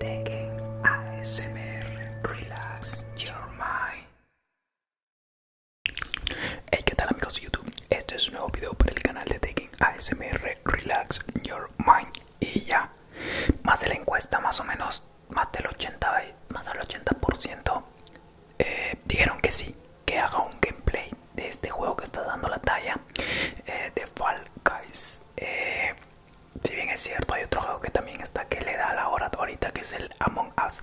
Taking ASMR Relax Your Mind. Hey, ¿qué tal amigos de YouTube? Este es un nuevo video para el canal de Taking ASMR Relax Your Mind. Y ya, más de la encuesta, más o menos, más del 80, más del 80% eh, dijeron que sí, que haga un gameplay de este juego que está dando la talla eh, de Fall Guys. Eh, si bien es cierto hay otro juego que también está que le da la hora ahorita que es el Among Us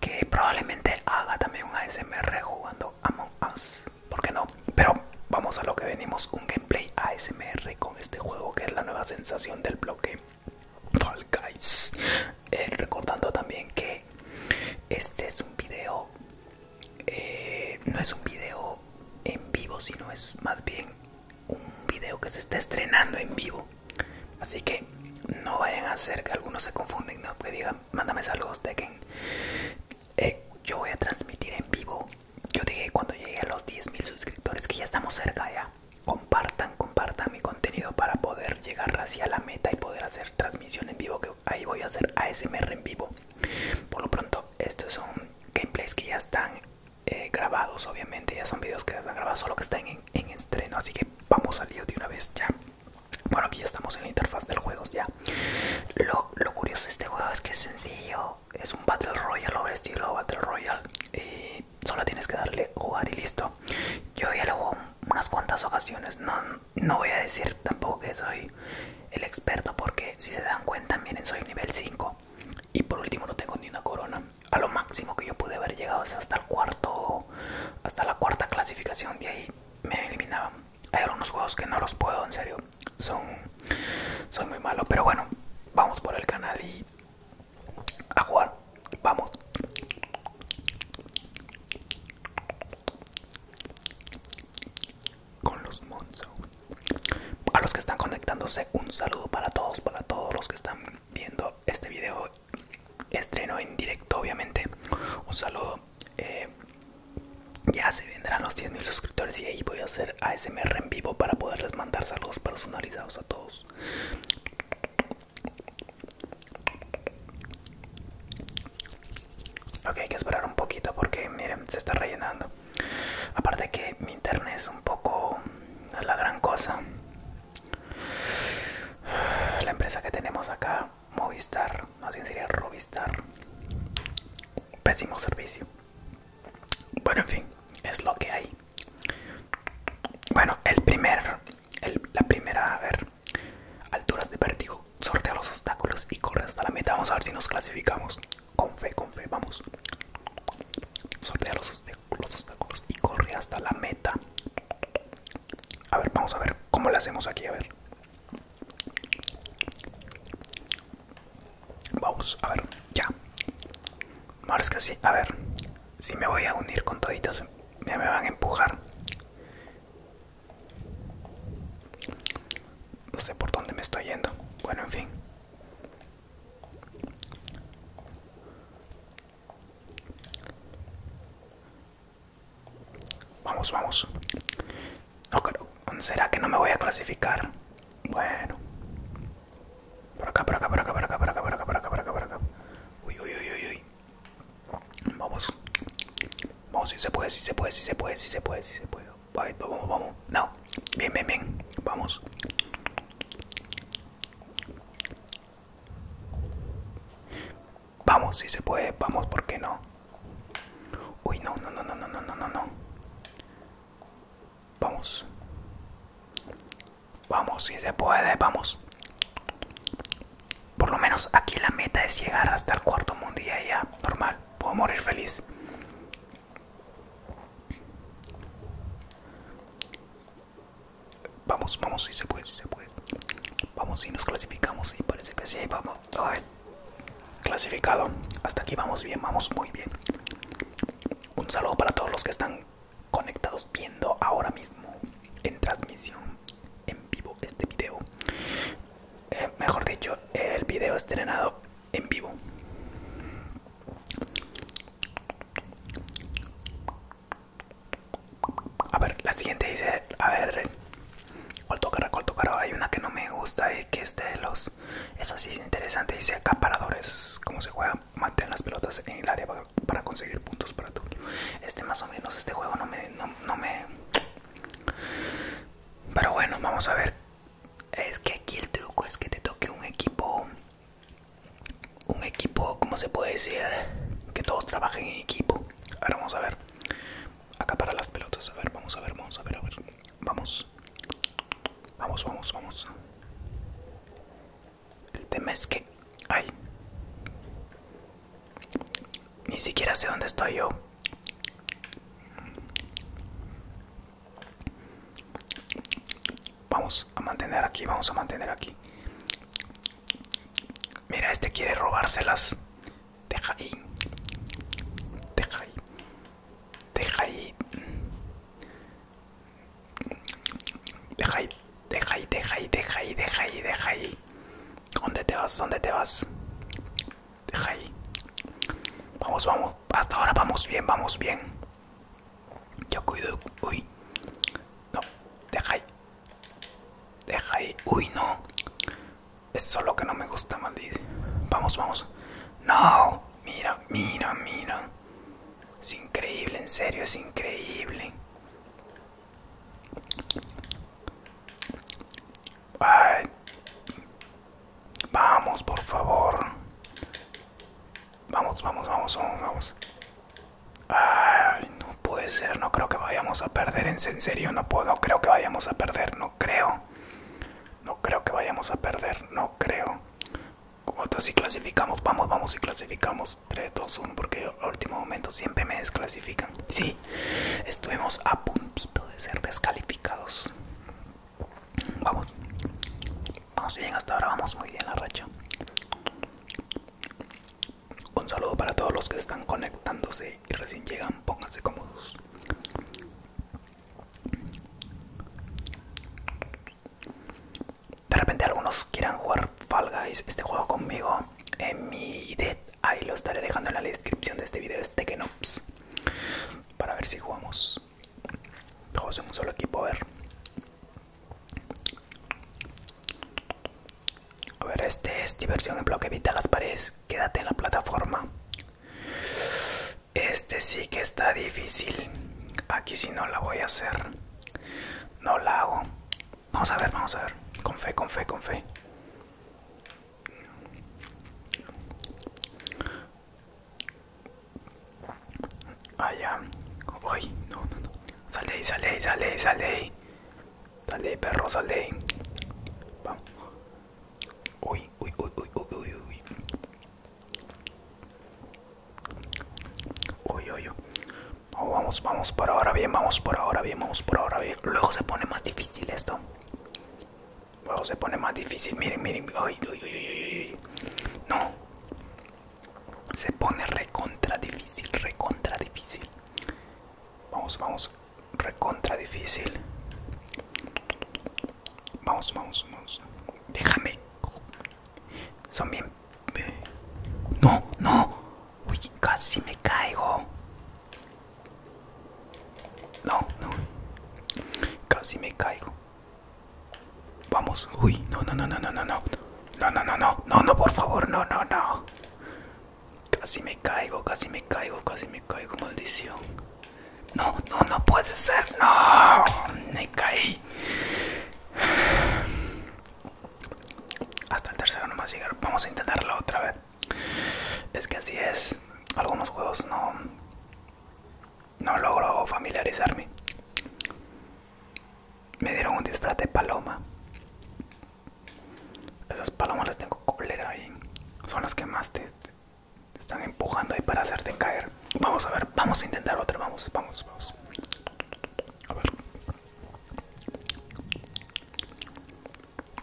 que probablemente haga también un ASMR jugando Among Us ¿por qué no? pero vamos a lo que venimos un gameplay ASMR con este juego que es la nueva sensación del bloque Fall Guys eh, recordando también que este es un video eh, no es un video en vivo, sino es más bien un video que se está estrenando en vivo. Así que no vayan a hacer que algunos se confunden, no que pues digan, mándame saludos, de Eh, yo voy a transmitir en vivo. Yo dije cuando llegué a los 10.000 suscriptores que ya estamos cerca ya. Compartan, compartan mi contenido para poder llegar hacia la meta y poder hacer transmisión en vivo, que ahí voy a hacer ASMR en vivo. Por lo pronto, esto es un gameplays que ya están eh, grabados, obviamente, ya son videos que ya están grabados, solo que están en, estreno, así que vamos al lío de una vez ya. Bueno, aquí ya estamos en la interfaz del juego, ya. Lo, curioso de este juego es que es sencillo, es un Battle Royale, o estilo Battle Royale, y solo tienes que darle jugar y listo. Yo ya lo juego unas cuantas ocasiones, no, no voy a decir tampoco que soy el experto porque si se dan cuenta miren soy nivel 5 y por último no tengo ni una corona a lo máximo que yo pude haber llegado es hasta el cuarto hasta la cuarta clasificación de ahí me eliminaban hay algunos juegos que no los puedo en serio son soy muy malo pero bueno vamos por el canal y a jugar vamos con los Monzo. A los que están conectándose, un saludo para todos, para todos los que están viendo este video estreno en directo, obviamente. Un saludo. Eh, ya se vendrán los mil suscriptores y ahí voy a hacer ASMR en vivo para poderles mandar saludos personalizados a todos. Ok, que hay que esperar un poquito porque miren, se está rellenando. Aparte que mi internet es un poco la gran cosa. La empresa que tenemos acá, Movistar, más bien sería Robistar. Pésimo servicio. Bueno, en fin, es lo que hay. Bueno, el primer, la primera, a ver, alturas de vértigo, sortea los obstáculos y corre hasta la meta. Vamos a ver si nos clasificamos. Con fe, con fe, vamos. Sortea los, obstáculos y corre hasta la meta. A ver, vamos a ver cómo le hacemos aquí, a ver. Vamos, a ver, ya. Ahora es que sí, a ver. Si me voy a unir con toditos, Ya me van a empujar no sé por dónde me estoy yendo. Bueno, en fin. Vamos, vamos. No creo. ¿Será que no me voy a clasificar? Bueno. Por acá, por acá, por acá, por acá, por acá, por acá, por acá, por acá, por acá. Uy, uy, uy, uy, uy. Vamos. Vamos, si se puede, si se puede, si se puede, si se puede, si se puede vamos, vamos. No, bien, bien, bien. Vamos. Vamos, si se puede, vamos, ¿por qué no? Uy, no, no, no, no, no, no, no, no, no. Vamos. Vamos, si se puede, vamos. Por lo menos aquí la meta es llegar hasta el cuarto mundo y ya, normal. Puedo morir feliz. Vamos, vamos, si se puede, si se puede. Vamos, si nos clasificamos y parece que sí, vamos. clasificado. Hasta aquí vamos bien, vamos muy bien. Un saludo para todos los que están conectados viendo ahora mismo en transmisión en vivo este video. Eh, mejor dicho, el video estrenado en vivo. A ver, la siguiente dice, a ver, ¿cuál toca Hay una que no me gusta que este de los... eso sí es interesante, dice acaparadores, como se juega, mantén las pelotas en el área para conseguir puntos para tu... Este más o menos, este juego no me... no me... Pero bueno, vamos a ver es que aquí el truco es que te toque un equipo un equipo como se puede decir que todos trabajen en equipo ahora vamos a ver acá para las pelotas a ver vamos a ver vamos a ver a ver vamos vamos vamos vamos el tema es que ay ni siquiera sé dónde estoy yo Vamos a mantener aquí, vamos a mantener aquí. Mira, este quiere robárselas. Deja ahí. Deja ahí. Deja ahí. Deja ahí, deja ahí, deja ahí, deja ahí, deja ahí, deja ahí. ¿Dónde te vas? ¿Dónde te vas? Deja ahí. Vamos, vamos. Hasta ahora vamos bien, vamos bien. Yo cuido. Uy. No, deja ahí. Deja ahí. Uy, no. es solo que no me gusta, maldito. Vamos, vamos. No. Mira, mira, mira. Es increíble, en serio, es increíble. Vamos, por favor. Vamos, vamos, vamos, vamos, Ay, no puede ser, no creo que vayamos a perder. En serio, no puedo, creo que vayamos a perder, no creo. No creo que vayamos a perder, no creo. si clasificamos, vamos, vamos, y clasificamos. 3, 2, 1, porque al último momento siempre me desclasifican. Sí, estuvimos a puntito de ser descalificados. Vamos, vamos bien, hasta ahora vamos muy bien la racha. Un saludo para todos los que están conectándose y recién llegan, pónganse cómodos. De repente algunos quieran jugar Fall Guys, este juego conmigo en mi ID, ahí lo estaré dejando en la descripción de este video este que Para ver si jugamos todos en un solo equipo, a ver A ver, este es diversión en bloque, evita las paredes, quédate en la plataforma Este sí que está difícil Aquí sí no la voy a hacer No la hago Vamos a ver, vamos a ver Con fe, con fe, con fe Allá. Ah, uy, no, no, no. Sale ahí, sale sale perro, sale Vamos. Uy, uy, uy, uy, uy, uy, uy. Uy, uy, vamos, vamos por ahora bien, vamos por ahora bien, vamos por ahora bien. Luego se pone más difícil esto. Luego se pone más difícil, miren, miren. No. Se pone recontra difícil, recontra difícil. Vamos, vamos. Recontra difícil. Vamos, vamos, vamos. Déjame. Son bien... No, no. Uy, casi me caigo. No, no. Casi me caigo. Vamos. Uy, no, no, no, no, no, no, no. No, no, no, no, no, no, por favor, no, no, no. Casi me caigo, casi me caigo, casi me caigo, maldición. No, no, no puede ser, no. Me caí. Hasta el tercero no más llegar. Vamos a intentarlo otra vez. Es que así es. Algunos juegos no, no logro familiarizarme. Me dieron un disfraz de paloma. Esas palomas las tengo cólera ahí. son las que más te, están empujando ahí para hacerte caer. Vamos a ver, vamos a intentar otra. Vamos, vamos, vamos. A ver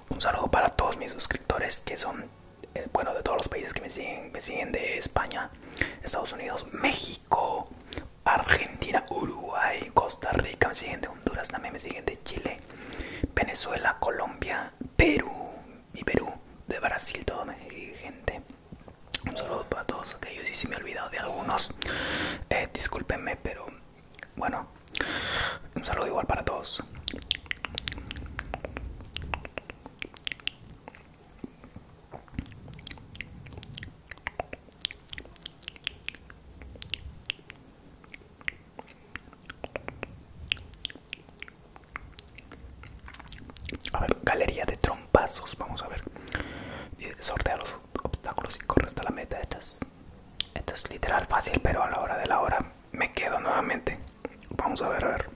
un saludo para todos mis suscriptores que son, eh, bueno, de todos los países que me siguen, me siguen de España, Estados Unidos, México, Argentina, Uruguay, Costa Rica, me siguen de Honduras, también me siguen de Chile, Venezuela, Colombia, Perú, Y Perú, de Brasil, todo me gente. Un saludo para todos aquellos y si me he olvidado de algunos, eh, discúlpenme, pero bueno, un saludo igual para todos. A ver, galería de trompazos, vamos a ver. Sortea los obstáculos y corre hasta la meta. esto es literal fácil, pero a la hora de la hora me quedo nuevamente. Vamos a ver, a ver.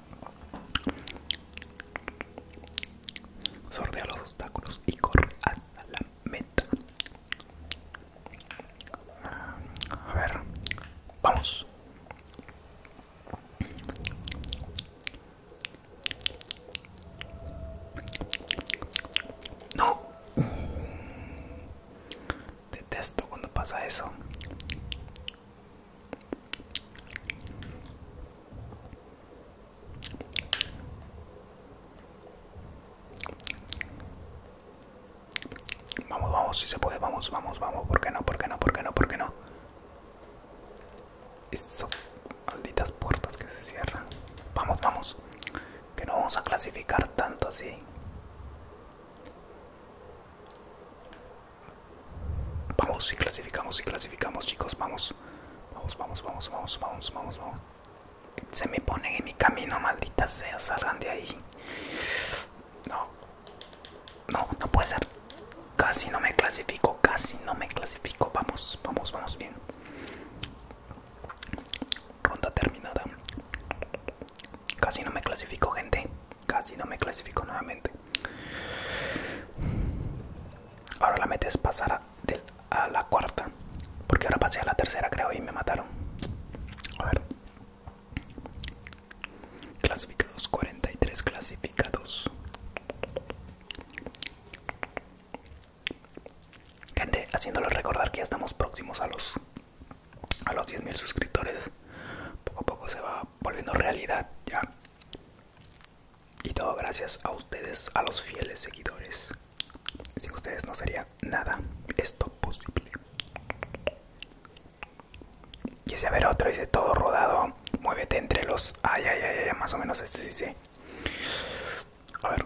Sordea los obstáculos y corre hasta la meta. A ver, vamos. No. Detesto cuando pasa eso. Vamos, vamos, si se puede, vamos, vamos, vamos. ¿Por qué no? ¿Por qué no? ¿Por qué no? ¿Por qué no? Esas malditas puertas que se cierran. Vamos, vamos. Que no vamos a clasificar tanto así. Vamos, y clasificamos, y clasificamos, chicos. Vamos, vamos, vamos, vamos, vamos, vamos, vamos, vamos. Se me ponen en mi camino, maldita sea. Salgan de ahí. No, no, no puede ser. Casi no me clasifico, casi no me clasifico. Vamos, vamos, vamos bien. Ronda terminada. Casi no me clasifico, gente. Casi no me clasifico nuevamente. Ahora la meta es pasar a, la cuarta. Porque ahora pasé a la tercera, creo, y me mataron. A ver. Clasificados, 43 clasificados. Gente, haciéndoles recordar que ya estamos próximos a los a los 10.000 suscriptores poco a poco se va volviendo realidad ya y todo gracias a ustedes a los fieles seguidores sin ustedes no sería nada esto posible quise ver otro dice todo rodado muévete entre los ay ay ay, ay más o menos este sí sí a ver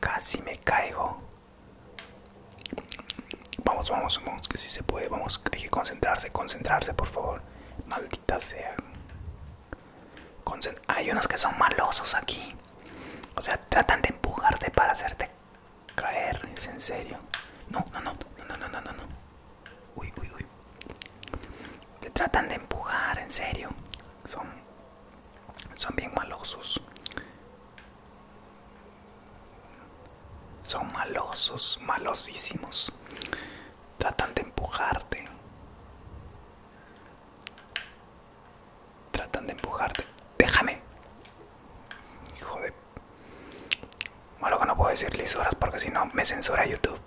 Casi me caigo. Vamos, vamos, vamos, que si se puede, vamos, hay que concentrarse, concentrarse, por favor. Maldita sea. hay unos que son malosos aquí. O sea, tratan de empujarte para hacerte caer, es en serio. No, no, no, no, no, no, no, no. Uy, uy, uy. Te tratan de empujar, en serio. Son son bien malosos son malosos malosísimos tratan de empujarte tratan de empujarte déjame hijo de Malo que no puedo decirles horas porque si no me censura youtube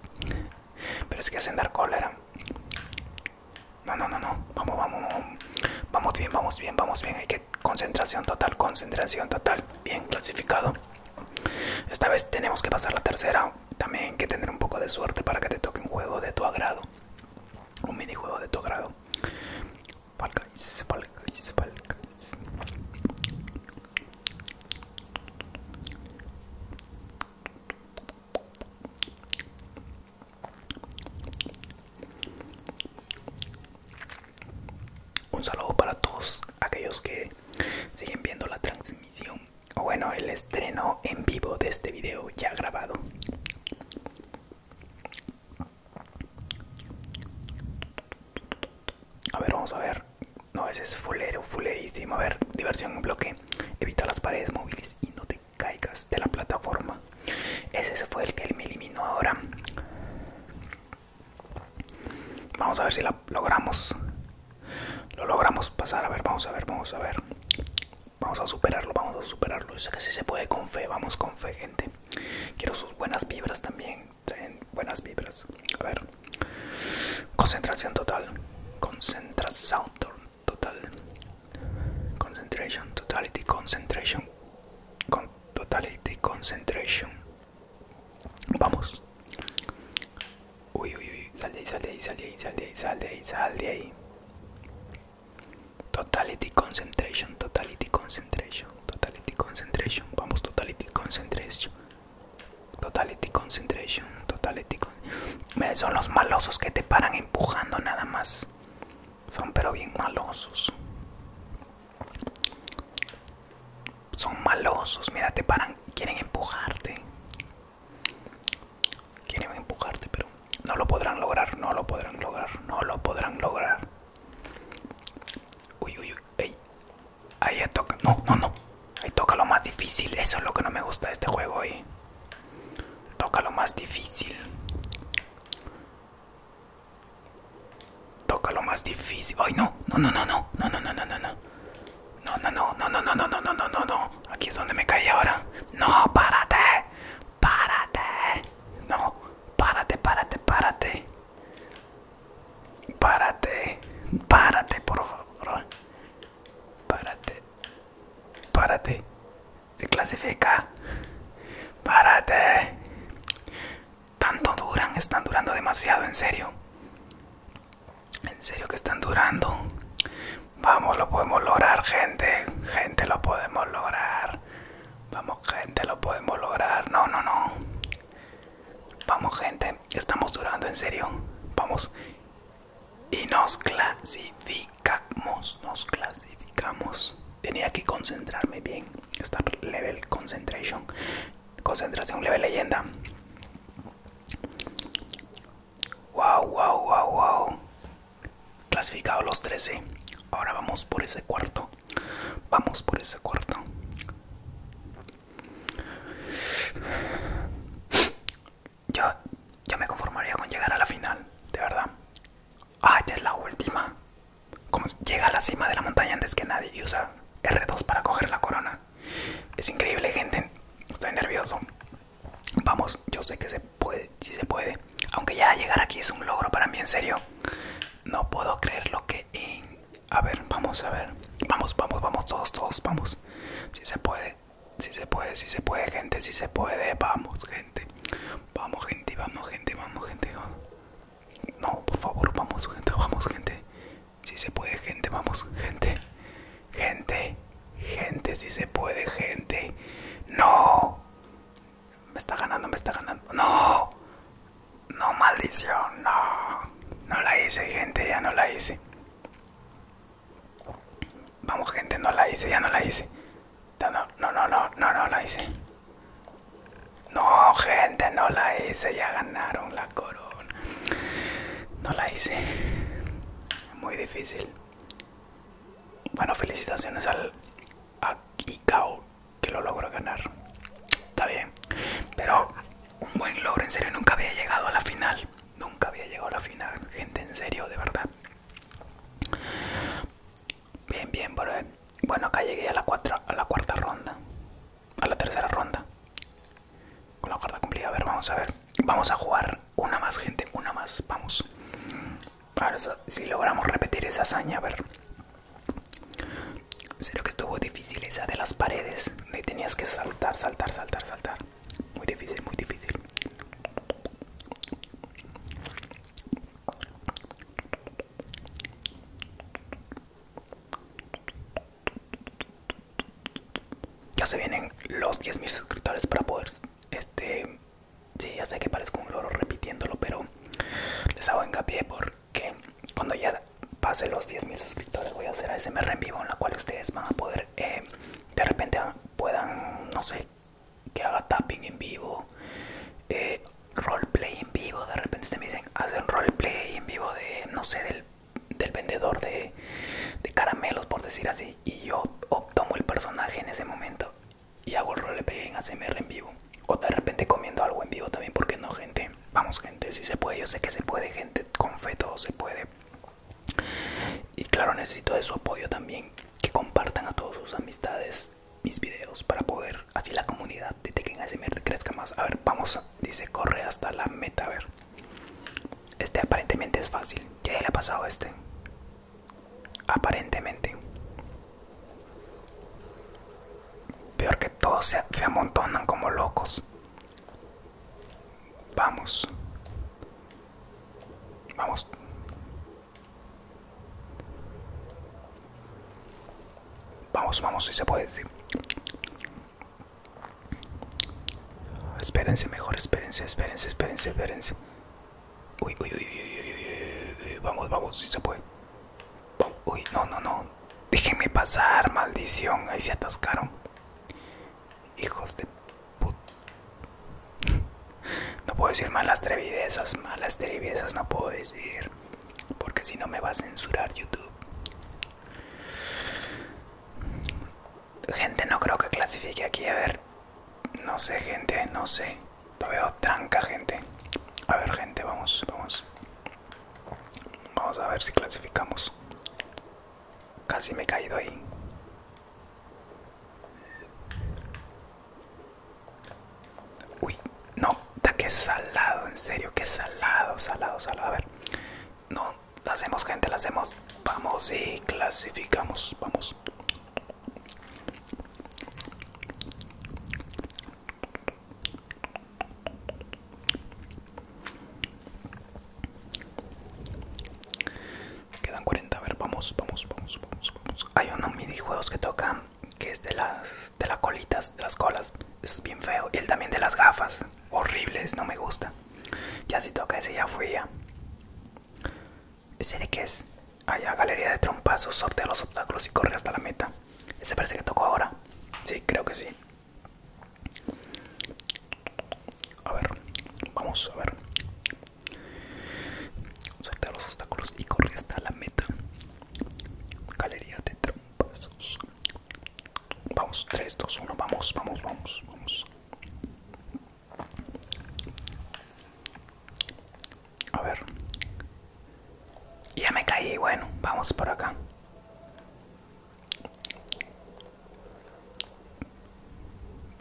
pero es que hacen dar cólera no, no, no, no. Vamos, vamos, vamos. bien, vamos bien, vamos bien. Hay que concentración total, concentración total. Bien clasificado. Esta vez tenemos que pasar la tercera. También que tener un poco de suerte para que te toque un juego de tu agrado. Un minijuego de tu agrado. Falcais, un saludo para todos aquellos que siguen viendo la transmisión o bueno el estreno en vivo de este video ya grabado. A ver, vamos a ver. No, ese es fulero, fulerísimo. A ver, diversión en bloque. Evita las paredes móviles y no te caigas de la plataforma. Ese fue el que él me eliminó ahora. Vamos a ver si la logramos. Lo logramos pasar. A ver, vamos a ver, vamos a ver. Vamos a superarlo, vamos a superarlo. Yo sé que sí se puede con fe, vamos con fe, gente. Quiero sus buenas vibras también. Traen buenas vibras. A ver. Concentración total. Concentración total total concentration totality concentration con totality concentration vamos uy uy uy sal de ahí sal de ahí sal totality concentration totality concentration totality concentration vamos totality concentration totality concentration totality son los malosos que te paran empujando nada más. Son pero bien malosos. Son malosos, mira, te paran, quieren empujarte. Quieren empujarte, pero no lo podrán lograr, no lo podrán lograr, no lo podrán lograr. Uy, uy, uy, Ahí toca, no, no, no. Ahí toca lo más difícil, eso es lo que no me gusta de este juego Toca lo más difícil. Toca lo más difícil. Ay, no, no, no, no, no, no, no, no, no, no, no. No, no, no, no, no, no, no, no, no, no, no. Aquí es donde me caí ahora. No, párate. Párate. No, párate, párate, párate. Párate. Párate, por favor. Párate. Párate. Se clasifica. Párate. Tanto duran, están durando demasiado, en serio. En serio que están durando. Vamos, lo podemos lograr, gente. Gente, lo podemos lograr. Vamos, gente, lo podemos lograr. No, no, no. Vamos, gente. Estamos durando, en serio. Vamos y nos clasificamos, nos clasificamos. Tenía que concentrarme bien, estar level concentration, concentración level leyenda. Wow, wow, wow, wow. Clasificado los 13. Ahora vamos por ese cuarto. Vamos por ese cuarto yo, me conformaría con llegar a la final, de verdad. Ah, ya es la última. Como llega a la cima de la montaña antes que nadie y usa R2 para coger la corona. Es increíble, gente. Estoy nervioso. Vamos, yo sé que se puede, si se puede. Aunque ya llegar aquí es un logro para mí, en serio. No puedo creer lo que... A ver, vamos, a ver. Vamos, vamos, vamos, todos, todos, vamos. Si se puede si se puede, si se puede, gente, si se puede, vamos, gente, vamos, gente, vamos, gente, vamos, gente. No, por favor, vamos, gente, vamos, gente. Si se puede, gente, vamos, gente. Gente, gente, si se puede, gente. No. Me está ganando, me está ganando. No. No, maldición, no. No la hice, gente, ya no la hice. Vamos gente, no la hice, ya no la hice. No, no, no, no, no, no, la hice. No, gente, no la hice, ya ganaron la corona. No la hice. Muy difícil. Bueno, felicitaciones al Icao que lo logró ganar. Está bien. Pero un buen logro, en serio, nunca había llegado a la final. Nunca había llegado a la final, gente, en serio, de verdad. Bien, bien, Bueno, acá llegué a la, a la cuarta ronda. A la tercera ronda. Con la cuarta cumplida. A ver, vamos a ver. Vamos a jugar una más, gente. Una más. Vamos. A ver si logramos repetir esa hazaña. A ver. lo que estuvo difícil esa de las paredes. y tenías que saltar, saltar, saltar, saltar. Muy difícil, muy difícil. Ya se vienen los 10.000 suscriptores para poder... Este... Sí, ya sé que parezco un loro repitiéndolo, pero les hago hincapié porque cuando ya pase los 10.000 suscriptores voy a hacer ASMR en vivo en la cual ustedes van a poder eh, de repente puedan, no sé, que haga tapping en vivo, eh, roleplay en vivo, de repente se me dicen, hacen roleplay en vivo de, no sé, del, vendedor de, caramelos, por decir así, y yo tomo el personaje en ese momento y hago el roleplay en ACMR en vivo. O de repente comiendo algo en vivo también, porque no, gente. Vamos, gente, si se puede, yo sé que se puede, gente, con feto todo se puede. Y claro, necesito de su apoyo también, que compartan a todos sus amistades mis videos para poder así la comunidad de Tekken ASMR crezca más. A ver, vamos, dice, corre hasta la meta, a ver. Este aparentemente es fácil, ya le ha pasado este. Aparentemente. Peor que todos se amontonan como locos. Vamos. Vamos. Vamos, vamos, si se puede decir. Espérense, mejor, espérense, espérense, espérense, espérense. Uy, uy, uy, uy, uy, vamos, vamos, si se puede. Uy, no, no, no. Déjenme pasar, maldición. Ahí se atascaron. Hijos de put. No puedo decir malas trevidezas, malas trevidezas no puedo decir. Porque si no me va a censurar YouTube. Gente, no creo que clasifique aquí. A ver, no sé, gente, no sé. todo veo tranca, gente. A ver, gente, vamos, vamos. Vamos a ver si clasificamos. Casi me he caído ahí. Uy, no, da que salado, en serio, que salado, salado, salado. A ver, no, la hacemos, gente, la hacemos. Vamos y clasificamos, vamos. Quedan 40, a ver, vamos, vamos, vamos, vamos, vamos. Hay unos juegos que toca que es de las de las colitas, de las colas. Es bien feo. Y el también de las gafas. Horribles, no me gusta. Ya si toca ese ya fui ya. ¿Ese de qué es? Allá, galería de trompazos, sortea los obstáculos y corre hasta la meta. Ese parece que tocó ahora. Sí, creo que sí. A ver, vamos a ver. Saltar los obstáculos y corre hasta la meta. Galería de trompas. Vamos, 3, 2, 1, vamos, vamos, vamos, vamos. A ver. Ya me caí, bueno, vamos por acá.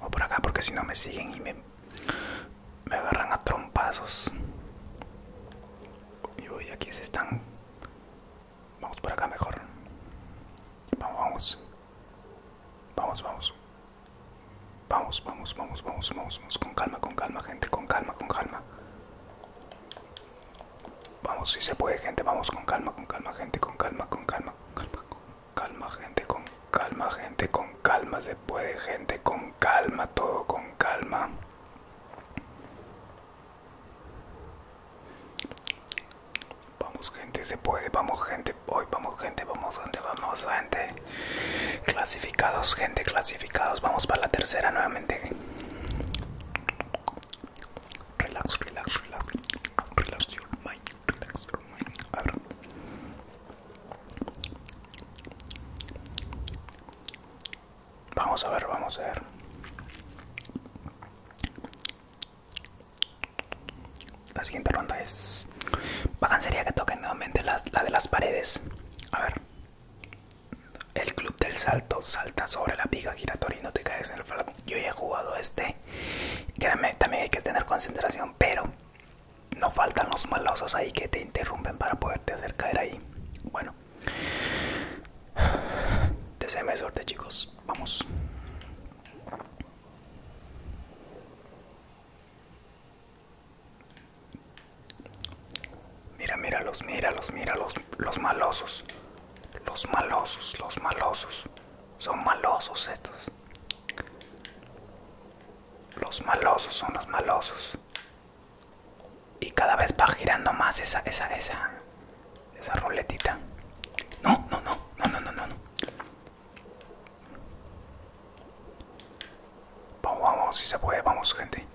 O por acá porque si no me siguen y me, me agarran a trompazos. Y voy aquí se están. Vamos por acá mejor. Vamos, vamos. Vamos, vamos. Vamos, vamos, vamos, vamos, vamos, vamos. Con calma, con calma, gente, con calma, con calma. Vamos, si se puede, gente, vamos con calma, con calma, gente, con calma, con calma. Con calma calma gente, con calma gente, con calma se puede gente, con calma todo, con calma. Vamos gente, se puede, vamos gente, voy vamos gente, vamos gente, vamos gente. Clasificados gente, clasificados, vamos para la tercera nuevamente. Relax, relax, relax, relax Vamos a ver, vamos a ver. La siguiente ronda es. a sería que toquen nuevamente la, de las paredes. A ver. El club del salto salta sobre la piga giratoria y no te caes en el flaco yo ya he jugado este. Créanme, también hay que tener concentración, pero no faltan los malosos ahí que te interrumpen para poderte hacer caer ahí. Bueno, deseame suerte, chicos. Vamos. Mira, míralos, míralos, míralos, los malosos. Los malosos, los malosos. Son malosos estos. Los malosos son los malosos. Y cada vez va girando más esa, esa, esa, esa ruletita. No, no, no, no, no, no, no. Vamos, vamos, si se puede, vamos, gente.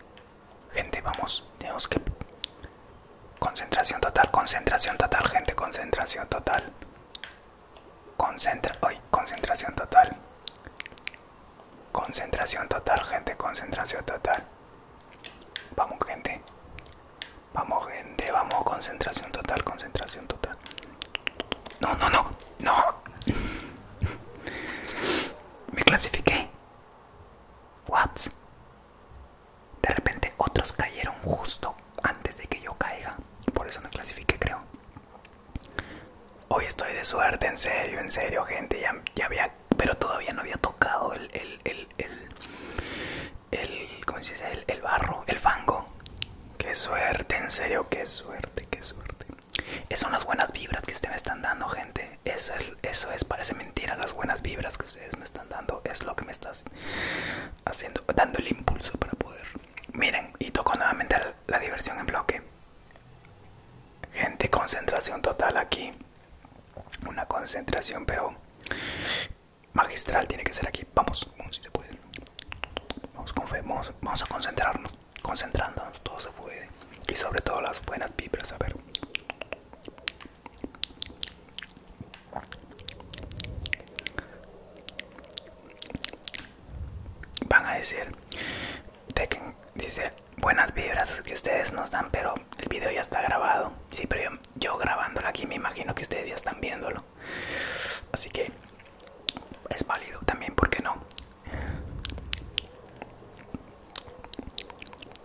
Gente, vamos. Tenemos que... Concentración total, concentración total, gente, concentración total. Concentra hoy, concentración total. Concentración total, gente, concentración total. Vamos, gente. Vamos, gente, vamos, concentración total, concentración total. No, no, no, no. Me clasifiqué. What? De repente otros cayeron justo antes de que yo caiga. Por eso no clasifique creo. Hoy estoy de suerte, en serio, en serio, gente. Ya, había, pero todavía no había tocado el, el, el, barro, el fango. Qué suerte, en serio, qué suerte, qué suerte. Esas son las buenas vibras que ustedes me están dando, gente. Eso es, eso es, parece mentira. Las buenas vibras que ustedes me están dando es lo que me está haciendo, dando el impulso para poder. Miren, y toco nuevamente la, diversión en bloque. Gente, concentración total aquí. Una concentración, pero magistral tiene que ser aquí. Vamos, se puede. Vamos con vamos, vamos a concentrarnos. Concentrándonos, todo se puede. Y sobre todo las buenas vibras, a ver. Van a decir, dice, buenas vibras que ustedes nos dan, pero el video ya está grabado. Sí, pero yo, grabándolo aquí me imagino que ustedes ya están viéndolo. Así que es válido también, ¿por qué no?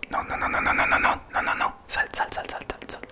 No, no, no, no, no, no, no, no, no, no, no, sal, sal, sal, sal, sal, sal.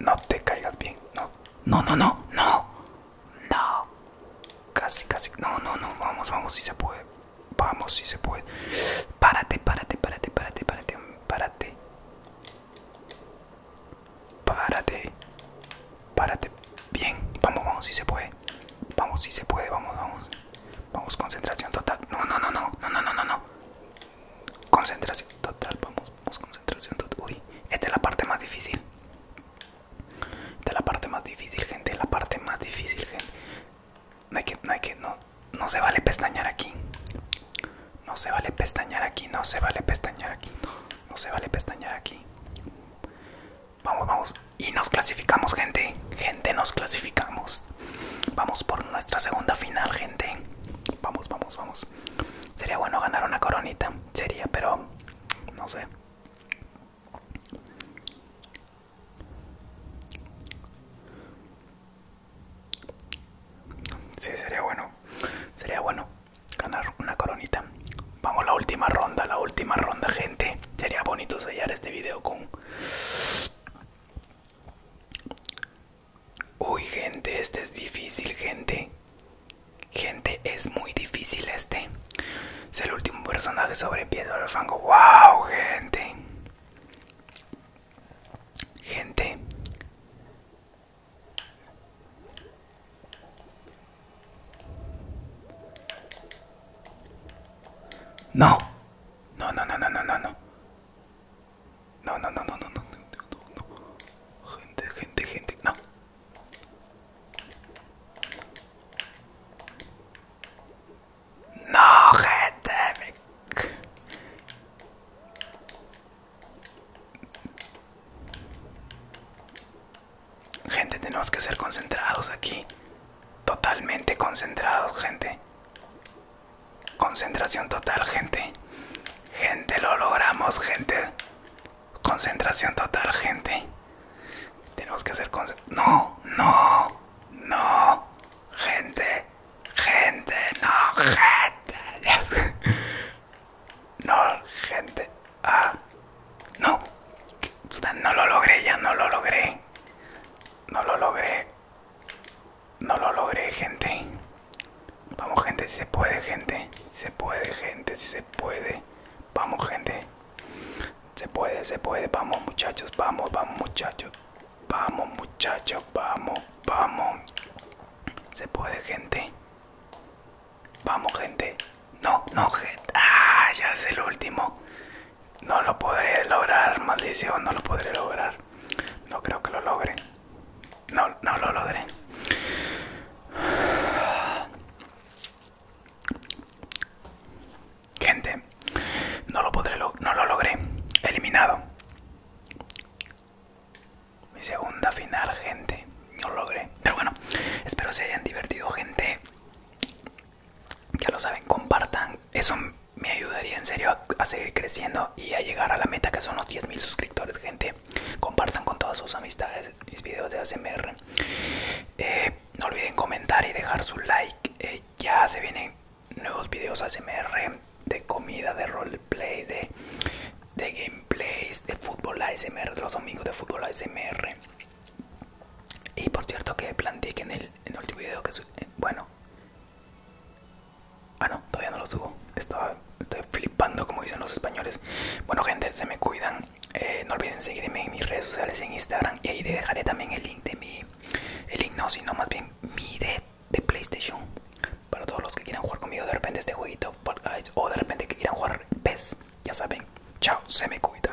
no te caigas bien. No, no, no, no, no. No. Casi, casi. No, no, no. Vamos, vamos, si se puede. Vamos, si se puede. Párate, párate, párate, párate, párate. Párate. Párate. Párate. Bien. Vamos, vamos, si se puede. Vamos, si se puede. Vamos, vamos. Vamos, concentración total. No, no, no, no. No, no, no, no. no. Concentración total, vamos, vamos, concentración total. Uy, esta es la parte más difícil. Esta es la parte más difícil, gente, la parte más difícil, gente. No hay que, no no, se vale pestañear aquí. No se vale pestañear aquí, no se vale pestañear aquí, no, se vale pestañear aquí. Vamos, vamos. Y nos clasificamos, gente. Gente, nos clasificamos. Vamos por nuestra segunda final, gente. Vamos, vamos, vamos. Sería bueno ganar una coronita. Sería, pero no sé. Sí, sería bueno. Sería bueno ganar una coronita. Vamos la última ronda, la última ronda, gente. Sería bonito sellar este video con Uy, gente, este es difícil, gente. Gente, es muy difícil este. Es el último personaje sobre piedra fango. ¡Wow, gente! Gente. No. No, no, no, no, no, no. No, no, no, no, no, no, no, no. Gente, gente, gente. No. No, gente. Gente, tenemos que ser concentrados aquí. Totalmente concentrados, gente. Concentración total, gente. Gente, lo logramos, gente. Concentración total, gente. Tenemos que hacer No, no, no. Gente, gente, no, gente. No, gente. Ah, no. No lo logré, ya no lo logré. No lo logré. No lo logré, gente. Vamos, gente, si se puede, gente. Se puede, gente, si se puede. Vamos, gente. Se puede, se puede. Vamos, muchachos. Vamos, vamos, muchachos. Vamos, muchachos. Vamos, vamos. Se puede, gente. Vamos, gente. No, no, gente. Ah, ya es el último. No lo podré lograr, maldición. No lo podré lograr. No creo que lo logre. No, no lo logré. Gente, no lo podré, no lo logré. Eliminado. Mi segunda final, gente. No lo logré. Pero bueno, espero se hayan divertido, gente. Ya lo saben, compartan. Eso me ayudaría en serio a, seguir creciendo y a llegar a la meta que son los 10.000 suscriptores, gente. Compartan con todas sus amistades mis videos de ASMR. Eh, no olviden comentar y dejar su like. Eh, ya se vienen nuevos videos ASMR de comida, de roleplay, de, de gameplays, de fútbol ASMR, de los domingos de fútbol ASMR. Y por cierto que planteé que en el, en el último video que... Eh, bueno, Ah, no, todavía no lo subo. estoy flipando, como dicen los españoles. Bueno, gente, se me cuidan. Eh, no olviden seguirme en mis redes sociales, en Instagram. Y ahí dejaré también el link de mi. El link no, sino más bien mi de, de PlayStation. Para todos los que quieran jugar conmigo de repente este jueguito. O de repente que quieran jugar PES. Ya saben. Chao, se me cuida